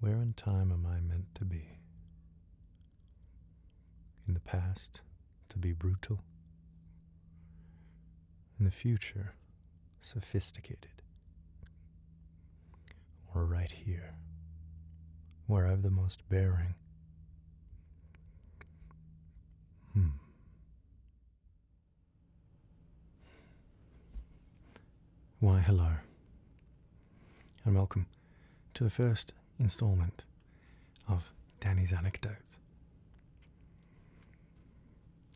Where in time am I meant to be? In the past, to be brutal. In the future, sophisticated. Or right here, where I've the most bearing. Hmm. Why, hello and welcome to the first instalment of Danny's Anecdotes.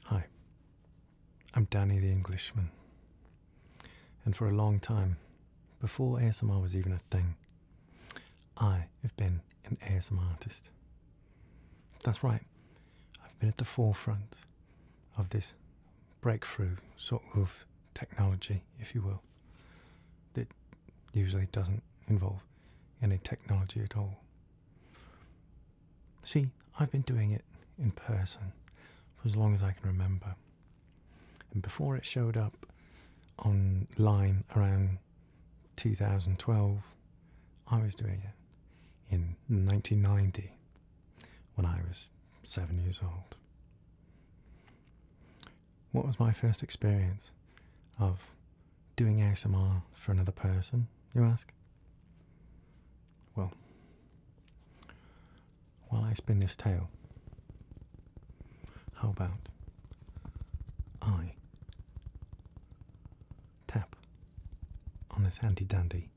Hi, I'm Danny the Englishman, and for a long time, before ASMR was even a thing, I have been an ASMR artist. That's right, I've been at the forefront of this breakthrough sort of technology, if you will, that usually doesn't involve any technology at all. See, I've been doing it in person for as long as I can remember. And before it showed up online around 2012, I was doing it in 1990 when I was seven years old. What was my first experience of doing ASMR for another person, you ask? Well, while I spin this tale, how about I tap on this handy dandy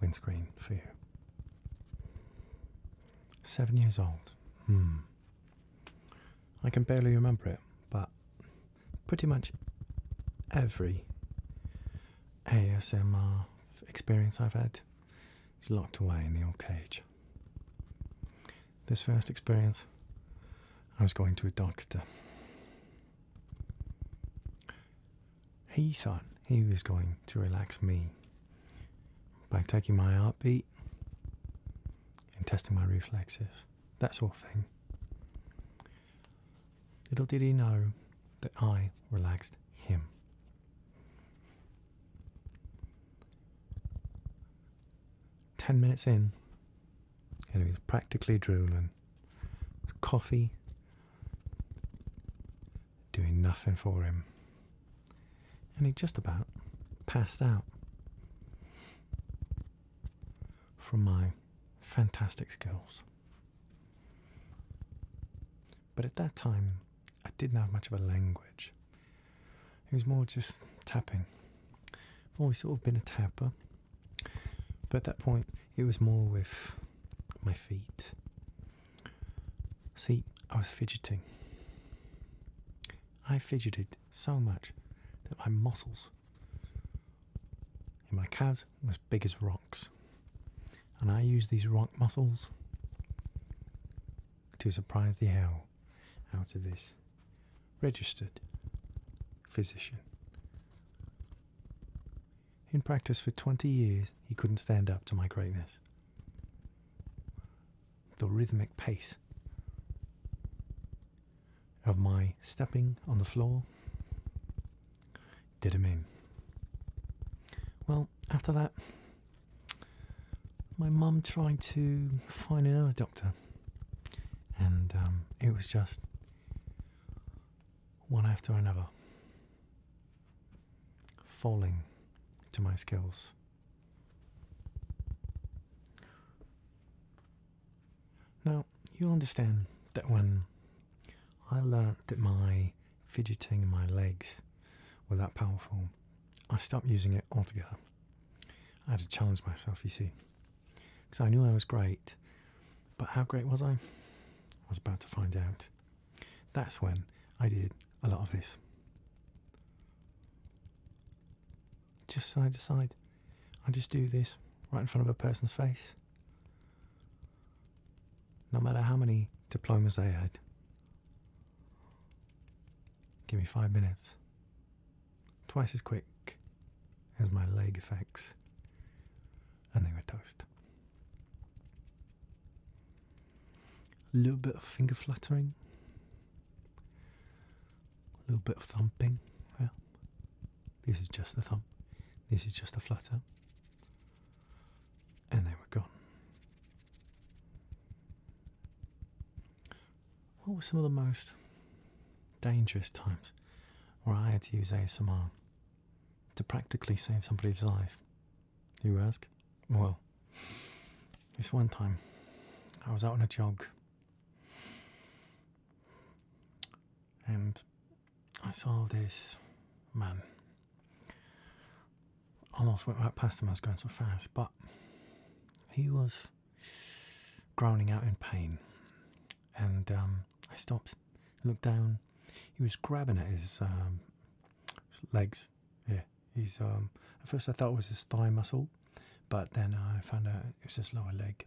windscreen for you. Seven years old. Hmm. I can barely remember it, but pretty much every ASMR experience I've had is locked away in the old cage. This first experience, I was going to a doctor. He thought he was going to relax me by taking my heartbeat and testing my reflexes, that sort of thing. Little did he know that I relaxed him. Ten minutes in, and he was practically drooling. Coffee doing nothing for him. And he just about passed out from my fantastic skills. But at that time, I didn't have much of a language. It was more just tapping. I've always sort of been a tapper. But at that point, it was more with my feet See, I was fidgeting. I fidgeted so much that my muscles in my calves were as big as rocks. And I used these rock muscles to surprise the hell out of this registered physician. In practice for 20 years, he couldn't stand up to my greatness the rhythmic pace of my stepping on the floor did him in. Well, after that, my mum tried to find another doctor, and um, it was just one after another falling to my skills. Now, you understand that when I learnt that my fidgeting and my legs were that powerful, I stopped using it altogether. I had to challenge myself, you see, because I knew I was great, but how great was I? I was about to find out. That's when I did a lot of this. Just side to side. I just do this right in front of a person's face. No matter how many diplomas they had. Give me five minutes. Twice as quick as my leg effects. And they were toast. A little bit of finger fluttering. A little bit of thumping. Yeah. This is just a thumb. This is just a flutter. And they were gone. What were some of the most dangerous times where I had to use ASMR to practically save somebody's life? You ask? Well, this one time I was out on a jog and I saw this man. Almost went right past him, I was going so fast, but he was groaning out in pain. And um, I stopped, looked down. He was grabbing at his um, legs yeah, he's. Um, at first, I thought it was his thigh muscle, but then I found out it was his lower leg.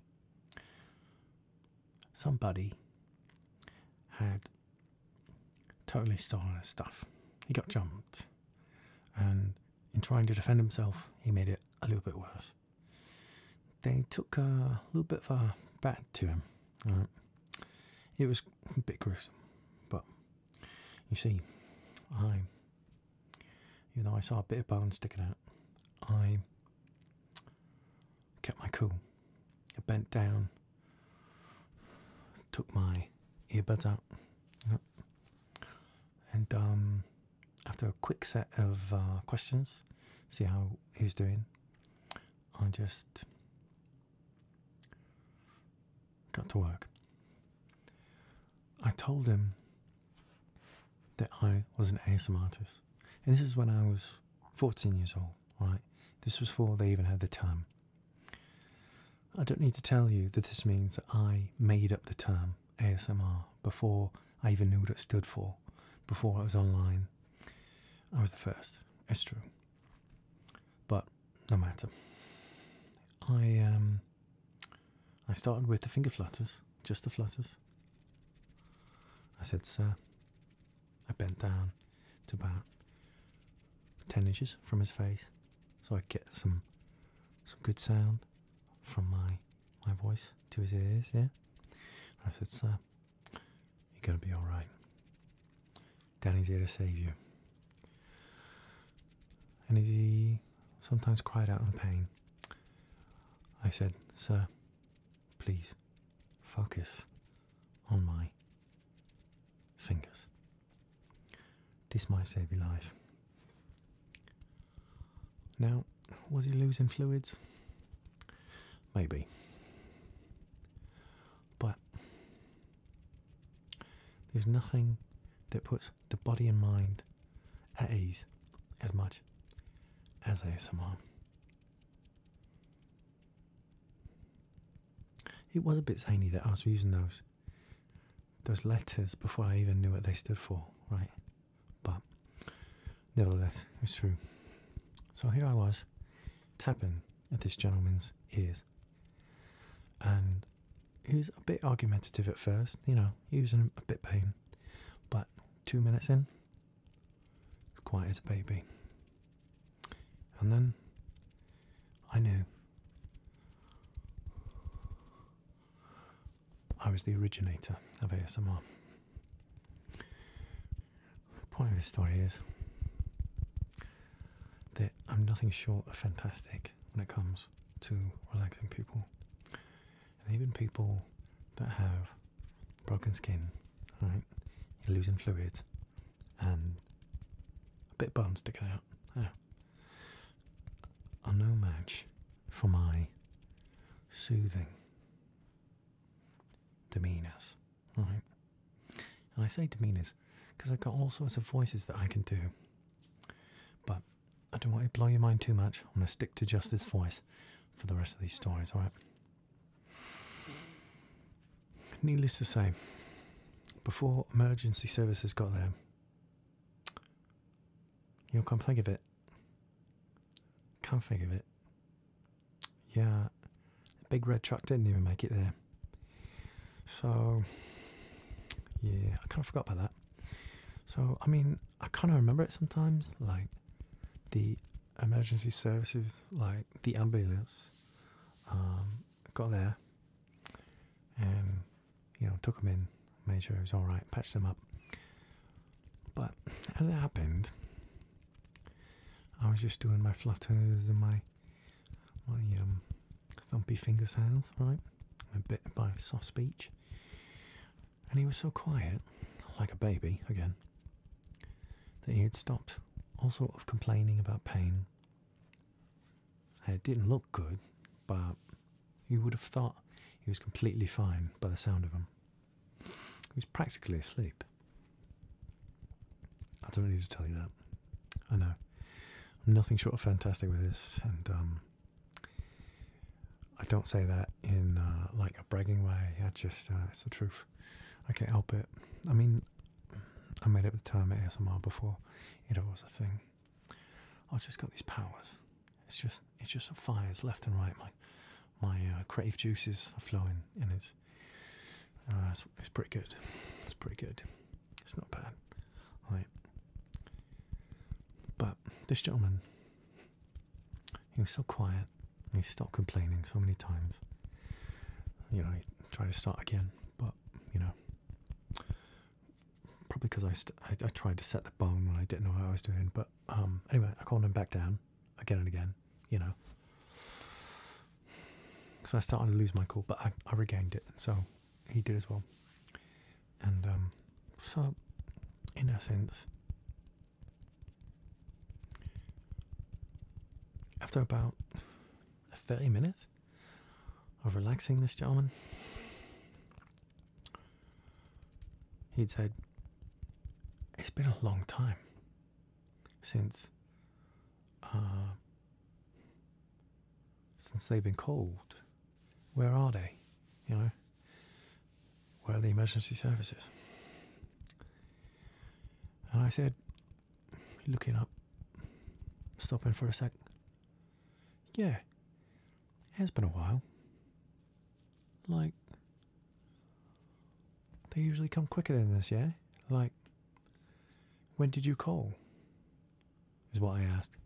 Somebody had totally stolen his stuff. He got jumped, and in trying to defend himself, he made it a little bit worse. They took a little bit of a bat to him. It was a bit gruesome, but you see, I, even though I saw a bit of bone sticking out, I kept my cool. I bent down, took my earbud out, and um, after a quick set of uh, questions, see how he's doing, I just got to work. I told him that I was an ASMR artist, and this is when I was 14 years old, right? This was before they even had the term. I don't need to tell you that this means that I made up the term ASMR before I even knew what it stood for, before it was online. I was the first, it's true. But no matter. I um I started with the finger flutters, just the flutters. I said, sir. I bent down to about ten inches from his face so I get some some good sound from my my voice to his ears, yeah? I said, Sir, you're gonna be alright. Danny's here to save you. And he sometimes cried out in pain. I said, Sir, please focus on my fingers. This might save your life. Now, was he losing fluids? Maybe. But there's nothing that puts the body and mind at ease as much as a smile. It was a bit zany that I was using those those letters before I even knew what they stood for, right? But nevertheless, it's true. So here I was tapping at this gentleman's ears, and he was a bit argumentative at first, you know, he was a bit pain, but two minutes in, as quiet as a baby. And then I knew I was the originator of ASMR. The point of this story is that I'm nothing short of fantastic when it comes to relaxing people. And even people that have broken skin, right? losing fluids, and a bit of burns to get out. Are no match for my soothing demeanours, right? And I say demeanours because I've got all sorts of voices that I can do. But I don't want to blow your mind too much. I'm going to stick to just this voice for the rest of these stories, alright? Needless to say, before emergency services got there, you can't think of it. Can't think of it. Yeah, the big red truck didn't even make it there. So, yeah, I kind of forgot about that. So, I mean, I kind of remember it sometimes, like the emergency services, like the ambulance, um, got there and, you know, took them in, made sure it was all right, patched them up. But as it happened, I was just doing my flutters and my my um, thumpy finger sounds, right? A bit by soft speech. And he was so quiet, like a baby again, that he had stopped all sort of complaining about pain. It didn't look good, but you would have thought he was completely fine by the sound of him. He was practically asleep. I don't need to tell you that. I know. I'm nothing short of fantastic with this, and um, I don't say that in uh, like a bragging way. I just, uh, it's the truth. I can't help it. I mean, I made it the term ASMR before it was a thing. I've just got these powers. It's just, it just fires left and right. My, my uh, creative juices are flowing, and it's, it's pretty good. It's pretty good. It's not bad. Right. But this gentleman, he was so quiet he stopped complaining so many times. You know, he tried to start again, but, you know, probably because I, I, tried to set the bone and I didn't know how I was doing. But um, anyway, I calmed him back down again and again, you know. So I started to lose my cool, but I, I regained it. So he did as well. And um, so, in essence, after about 30 minutes of relaxing this gentleman, he'd said, It's been a long time since. Uh, since they've been cold where are they? You know, where are the emergency services? And I said, looking up, stopping for a sec. Yeah, it has been a while. Like, they usually come quicker than this, yeah? Like, when did you call? is what I asked.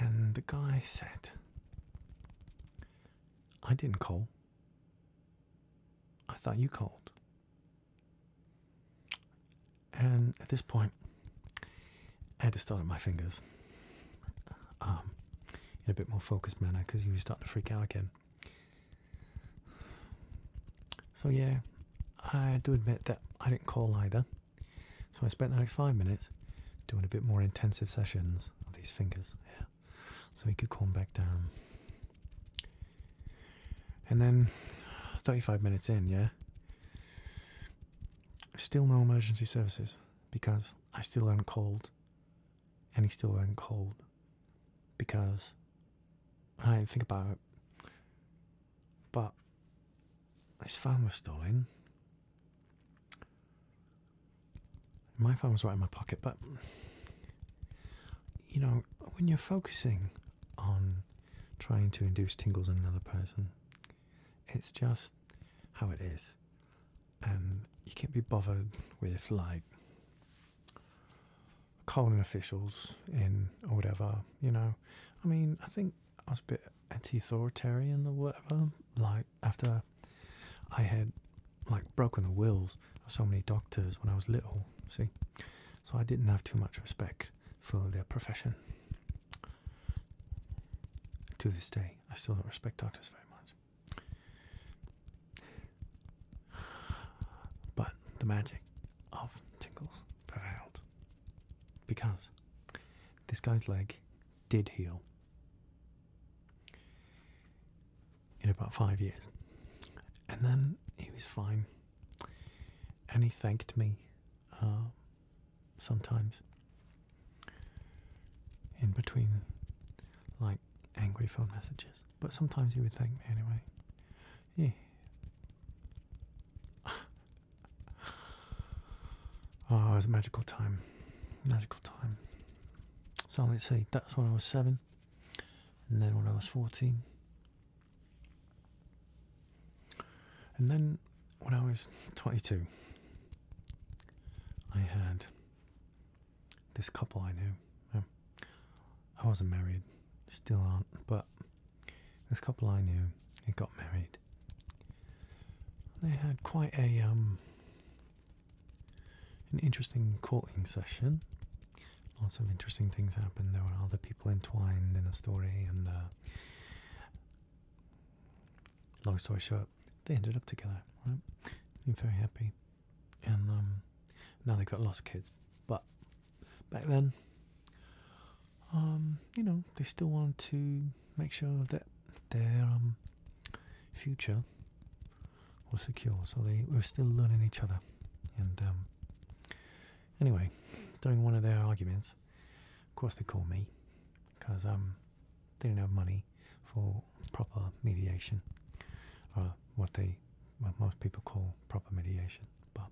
And the guy said, I didn't call. I thought you called. And at this point, I had to start at my fingers um, in a bit more focused manner because you was starting to freak out again. So, yeah, I do admit that I didn't call either. So I spent the next five minutes doing a bit more intensive sessions of these fingers here, so he could calm back down. And then 35 minutes in, yeah, still no emergency services because I still am cold and he still am cold because I think about it. But this phone was stolen. My phone was right in my pocket, but you know, when you're focusing on trying to induce tingles in another person, it's just how it is. Um, you can't be bothered with like calling officials in or whatever, you know. I mean, I think I was a bit anti-authoritarian or whatever. Like after I had like broken the wills of so many doctors when I was little, see, so I didn't have too much respect for their profession. To this day, I still don't respect doctors very much. But the magic of tinkles prevailed because this guy's leg did heal in about five years. And then he was fine. And he thanked me uh, sometimes in between like angry phone messages. But sometimes he would thank me anyway. Yeah oh, it was a magical time. Magical time. So let's see, that's when I was seven, and then when I was 14. And then when I was 22, I had this couple I knew. I wasn't married, still aren't, but this couple I knew, they got married. They had quite a um, an interesting courting session. Lots of interesting things happened. There were other people entwined in the story, and uh, long story short, they ended up together. Right? I'm very happy, and um, now they've got lots of kids. But back then, um, you know, they still want to make sure that their um, future was secure. So they were still learning each other. And um, anyway, during one of their arguments, of course they called me because um, they didn't have money for proper mediation, or uh, what they what most people call proper mediation. But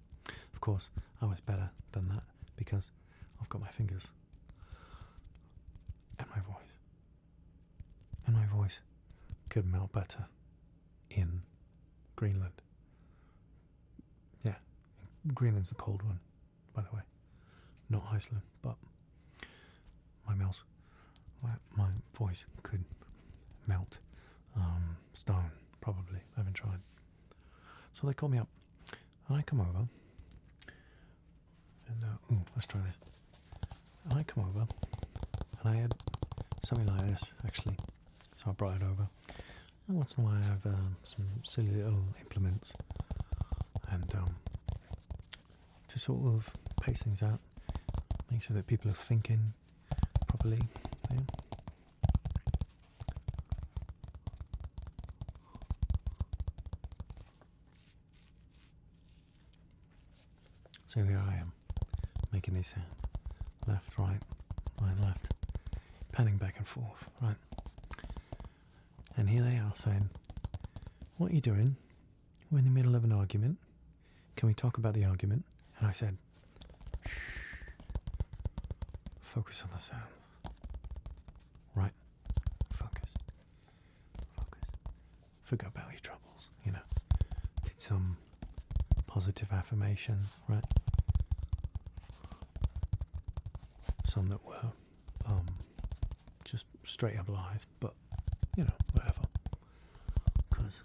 of course, I was better than that because I've got my fingers and my voice, and my voice could melt better in Greenland. Yeah, Greenland's the cold one, by the way, not Iceland, but my mouth, my, my voice could melt um, stone, probably. I haven't tried. So they call me up, and I come over, and uh, ooh, let's try this. I come over, and I had something like this actually, so I brought it over. And once in a while, I have um, some silly little implements, and um, to sort of pace things out, make sure that people are thinking properly. So here I am, making these sounds. Left, right, right, left. Panning back and forth, right? And here they are saying, What are you doing? We're in the middle of an argument. Can we talk about the argument? And I said, Focus on the sound. Right. Focus. Focus. Forget about your troubles, you know. Did some positive affirmations, right? Some that were um, just straight up lies, but you know, whatever. Because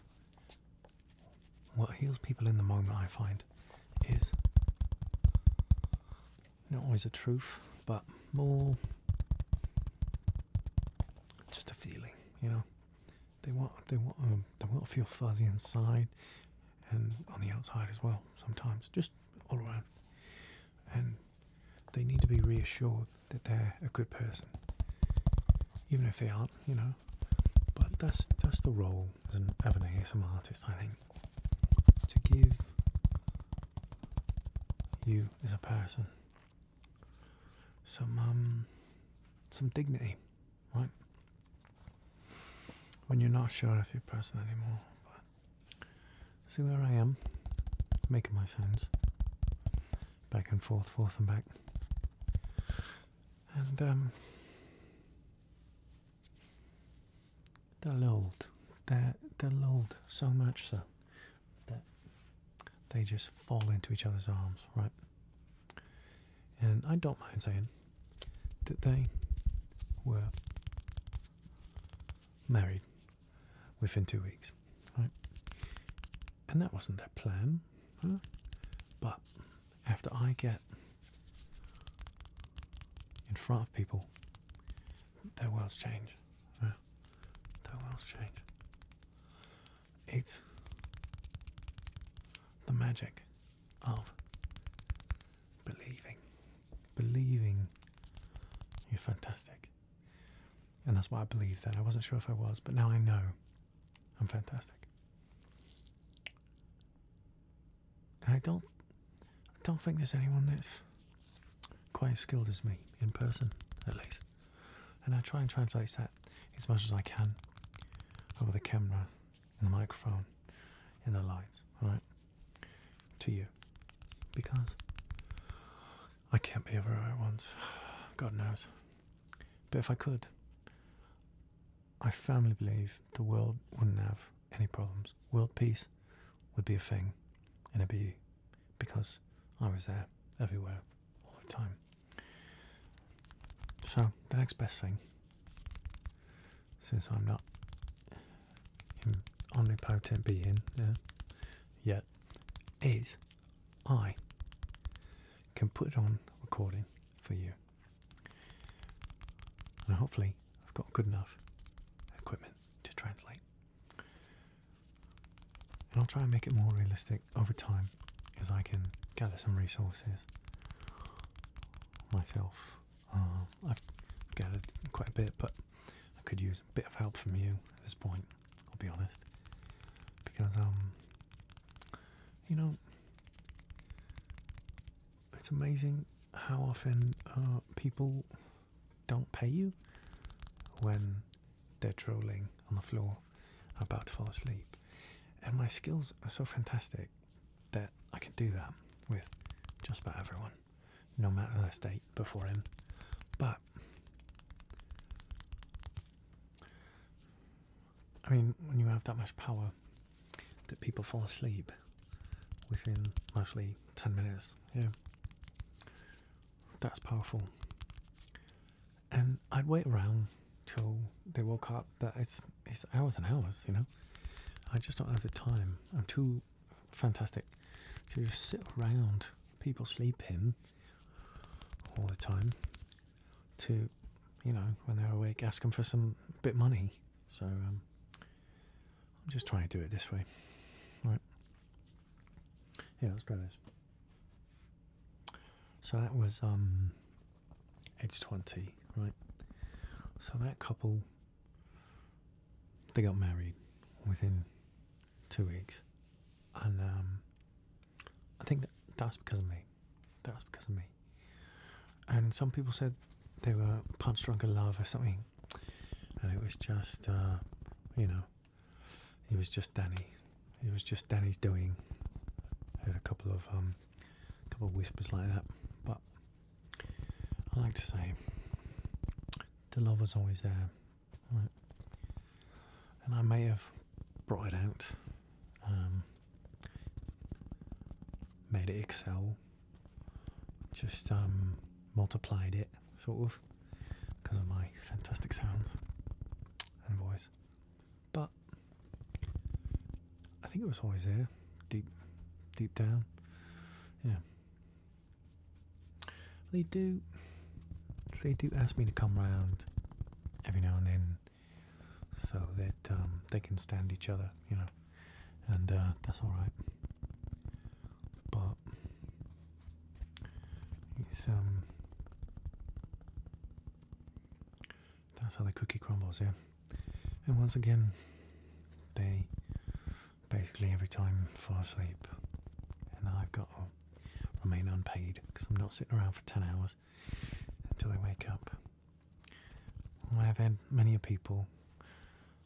what heals people in the moment, I find, is not always a truth, but more just a feeling, you know. They want they want um, they want to feel fuzzy inside and on the outside as well. Sometimes just all around, and they need to be reassured that they're a good person, even if they aren't, you know. But that's that's the role as an, as an artist, I think, to give you as a person some um some dignity, right? When you're not sure if you're a person anymore. see where I am, making my sounds back and forth, forth and back, and um, they're lulled. they they're so much so that they just fall into each other's arms, right? And I don't mind saying that they were married within two weeks, right? And that wasn't their plan, huh? But after I get in front of people their worlds change. Their worlds change. It's the magic of believing. Believing you're fantastic. And that's why I believe that. I wasn't sure if I was, but now I know I'm fantastic. And I don't I don't think there's anyone that's quite as skilled as me in person, at least. And I try and translate that as much as I can over the camera, and the microphone, and the lights, right? To you. Because I can't be everywhere at once. God knows. But if I could, I firmly believe the world wouldn't have any problems. World peace would be a thing, and it'd be because I was there everywhere all the time. So, the next best thing, since I'm not an omnipotent being uh, yet, is I can put it on recording for you. And hopefully, I've got good enough equipment to translate. And I'll try and make it more realistic over time as I can gather some resources myself. Uh, I've gathered quite a bit, but I could use a bit of help from you at this point, I'll be honest. Because, um, you know, it's amazing how often uh, people don't pay you when they're drooling on the floor about to fall asleep. And my skills are so fantastic that I can do that with just about everyone, no matter their state before him. But I mean, when you have that much power that people fall asleep within mostly 10 minutes, yeah, that's powerful. And um, I'd wait around till they woke up, but it's it's hours and hours, you know. I just don't have the time. I'm too fantastic to just sit around people sleeping all the time. To, you know, when they're awake, ask them for some bit money. So um, I'm just trying to do it this way, all right? Yeah, let's try this. So that was um, age 20, right? So that couple, they got married within two weeks. And um, I think that that was because of me. That was because of me. And some people said they were punch drunk in love or something. And it was just, uh, you know, know, was just Danny. It was just Danny's doing. Heard a couple of um, a couple of whispers like that, but I like to say the love was always there, and I may have brought it out, um, made it excel, just um, multiplied it, sort of, because of my fantastic sounds and voice. But I think it was always there, deep, deep down. Yeah. They do. They do ask me to come round every now and then, so that um, they can stand each other, you know, and uh, that's all right. But it's um that's how the cookie crumbles, yeah. And once again, they basically every time fall asleep, and I've got to remain unpaid because I'm not sitting around for 10 hours until they wake up. I have had many people,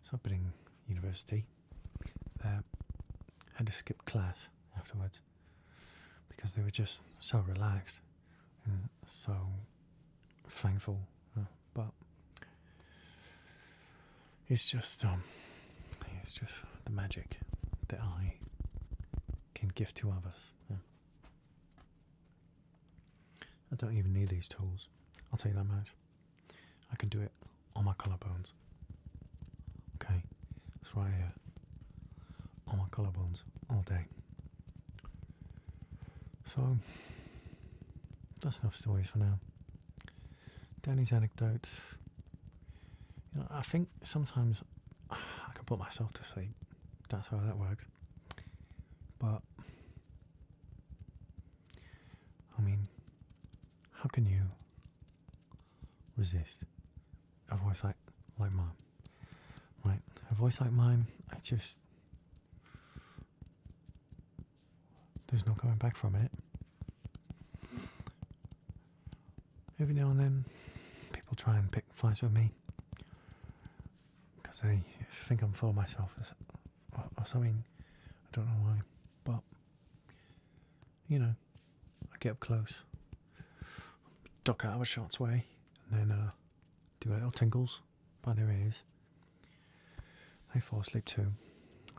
so I've been in university, I Had to skip class afterwards because they were just so relaxed and so thankful. But it's just um, it's just the magic that I can give to others. I don't even need these tools. I'll tell you that much. I can do it on my collarbones. Okay, that's right here. On my collarbones all day. So, that's enough stories for now. Danny's anecdotes. You know, I think sometimes I can put myself to sleep. That's how that works. But, I mean, how can you resist a voice like like mine right a voice like mine i just there's no coming back from it every now and then people try and pick fights with me because they think i'm full of myself or, something i don't know why but you know, I get up close, duck out of a shot's way, and then uh, do little tingles by their ears. They fall asleep too.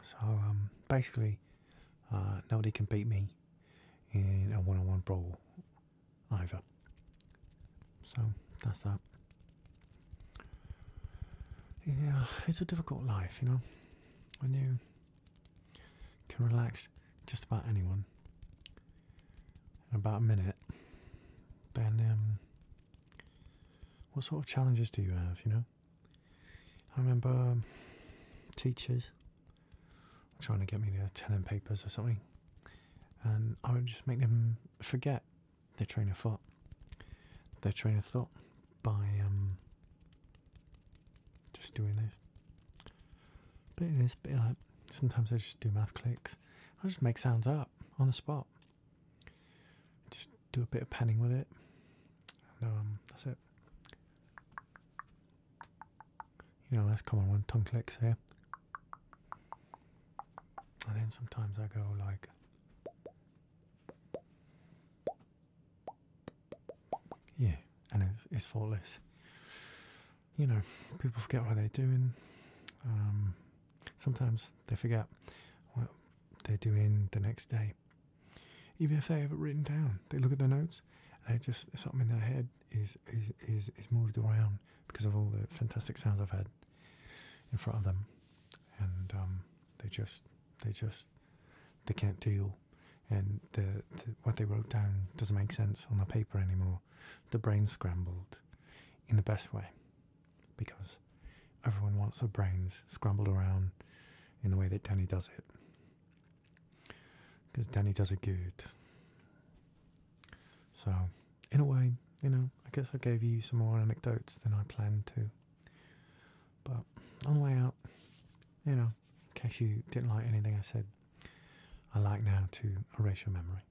So um, basically, uh, nobody can beat me in a one on one brawl either. So that's that. Yeah, it's a difficult life, you know. When you can relax just about anyone in about a minute. Then, um, what sort of challenges do you have? You know, I remember um, teachers trying to get me to tell them papers or something, and I would just make them forget their train of thought. Their train of thought by um, just doing this. but this, bit Sometimes I just do math clicks. I just make sounds up on the spot. Just do a bit of panning with it. um, that's it. You know, that's common one. Tongue clicks here. And then sometimes I go like. Yeah, and it's, it's for less. You know, people forget what they're doing. Um, sometimes they forget what they're doing the next day. Even if they have it written down, they look at their notes and just something in their head is, is, is, moved around because of all the fantastic sounds I've had in front of them. And um, they just they just they can't deal, and the what they wrote down doesn't make sense on the paper anymore. The brain scrambled, in the best way, because everyone wants their brains scrambled around in the way that Danny does it. Because Danny does it good. So, in a way, you know, I guess I gave you some more anecdotes than I planned to. But on the way out, you know, in case you didn't like anything I said, I like now to erase your memory.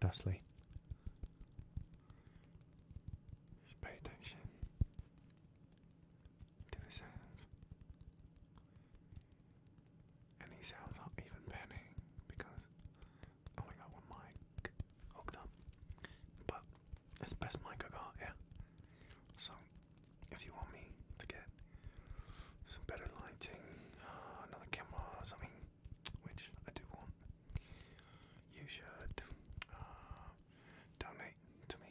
Thusly, just pay attention to the sounds. And these sounds are even panning because I only got one mic hooked up. But it's the best mic I got, yeah. So if you want me to get some better lighting, uh, another camera something, which I do want, you should uh, donate to me.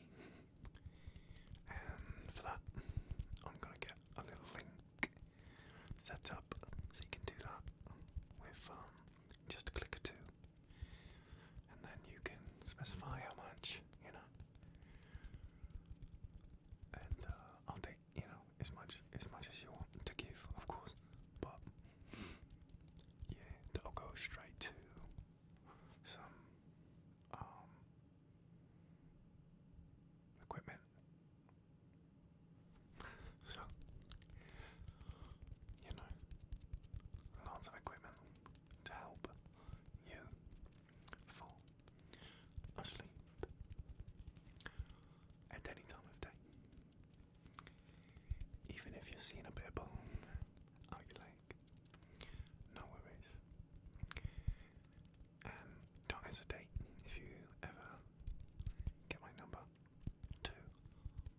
And for that, I'm gonna get a little link set up so you can do that with um, just a click or two and then you can specify how much, you know. And uh, I'll take, you know, as much as much as you want to give, of course. But yeah, that'll go straight to some um, equipment. So you know, lots of equipment to help you fall asleep at any time of day. Even if you're seeing a bit of bone out your no worries. Um, don't hesitate if you ever get my number to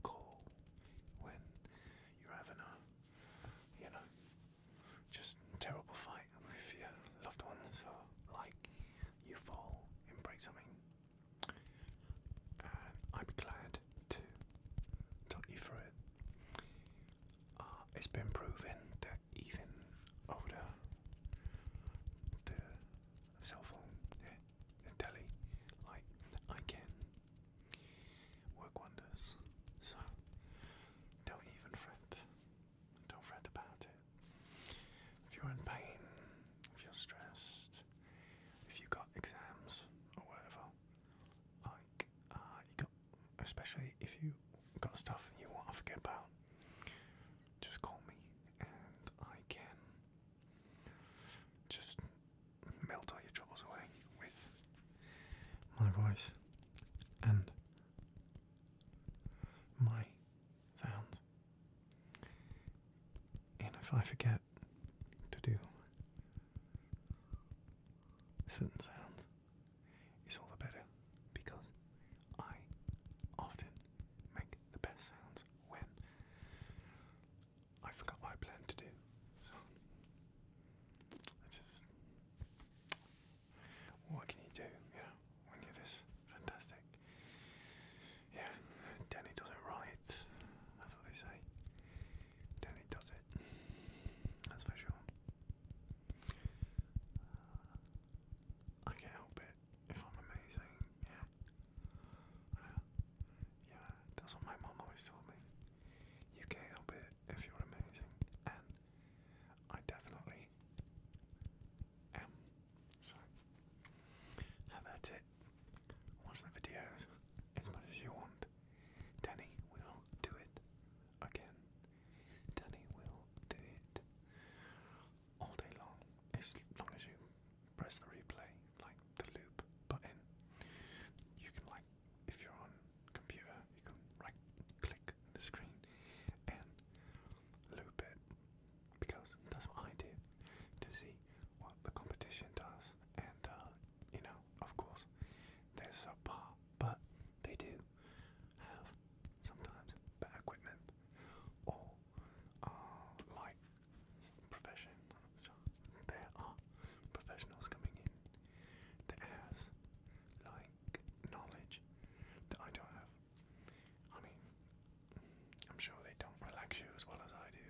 call when you're having a, you know, just terrible fight with your loved ones or like you fall and break something. And I'd glad to talk you through it. Uh, it's been proven that even older the cell phone, the telly, like I can work wonders. So don't even fret. Don't fret about it. If you're in pain, if you're stressed, if you got exams or whatever, like uh, you got, especially if you got stuff you want to forget about, just call me and I can just melt all your troubles away with my voice and my sounds. And if I forget to do certain sounds, it's all the better because I often make the best sounds when I forgot what I planned to do. That's just what can you do, you when you're this fantastic? Yeah, Danny does it right. That's what they say. Danny does it. That's for sure. I can't help it if I'm amazing. Yeah. yeah, that's what my mum always told me. You can't help it if you're amazing, I definitely am. So, that's it. Watch the videos as much as you want. Danny will do it again. Danny will do it all day long, as long as you press the replay, like the loop button. You can like if you're on computer, you can right click the screen and loop it because that's what I do to see what the competition does. And uh, you know, of course, they're subpar, but they do have sometimes better equipment or uh, like profession. So there are professionals coming in that has like knowledge that I don't have. I mean, I'm sure they don't relax you as well as I do,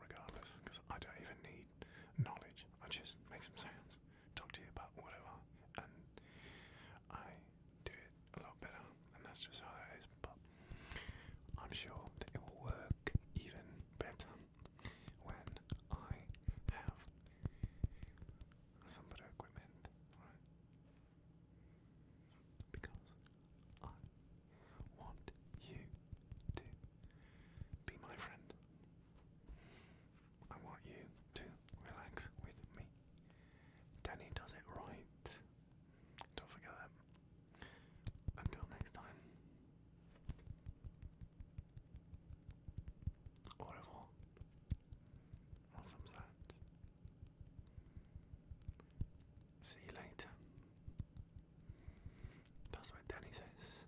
regardless, because I don't even need knowledge. I just make some sounds, talk to you about whatever, and I do it a lot better, and that's just how it is. But I'm sure that it will work even better when I have some better equipment, Because I want you to be my friend. I want you to relax with me. Danny does it right. Don't forget that. Until next time au revoir on see you later that's what Danny says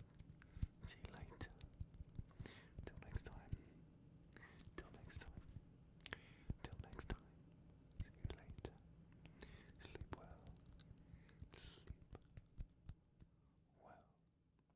see you later till next time till next time till next time see you later sleep well sleep well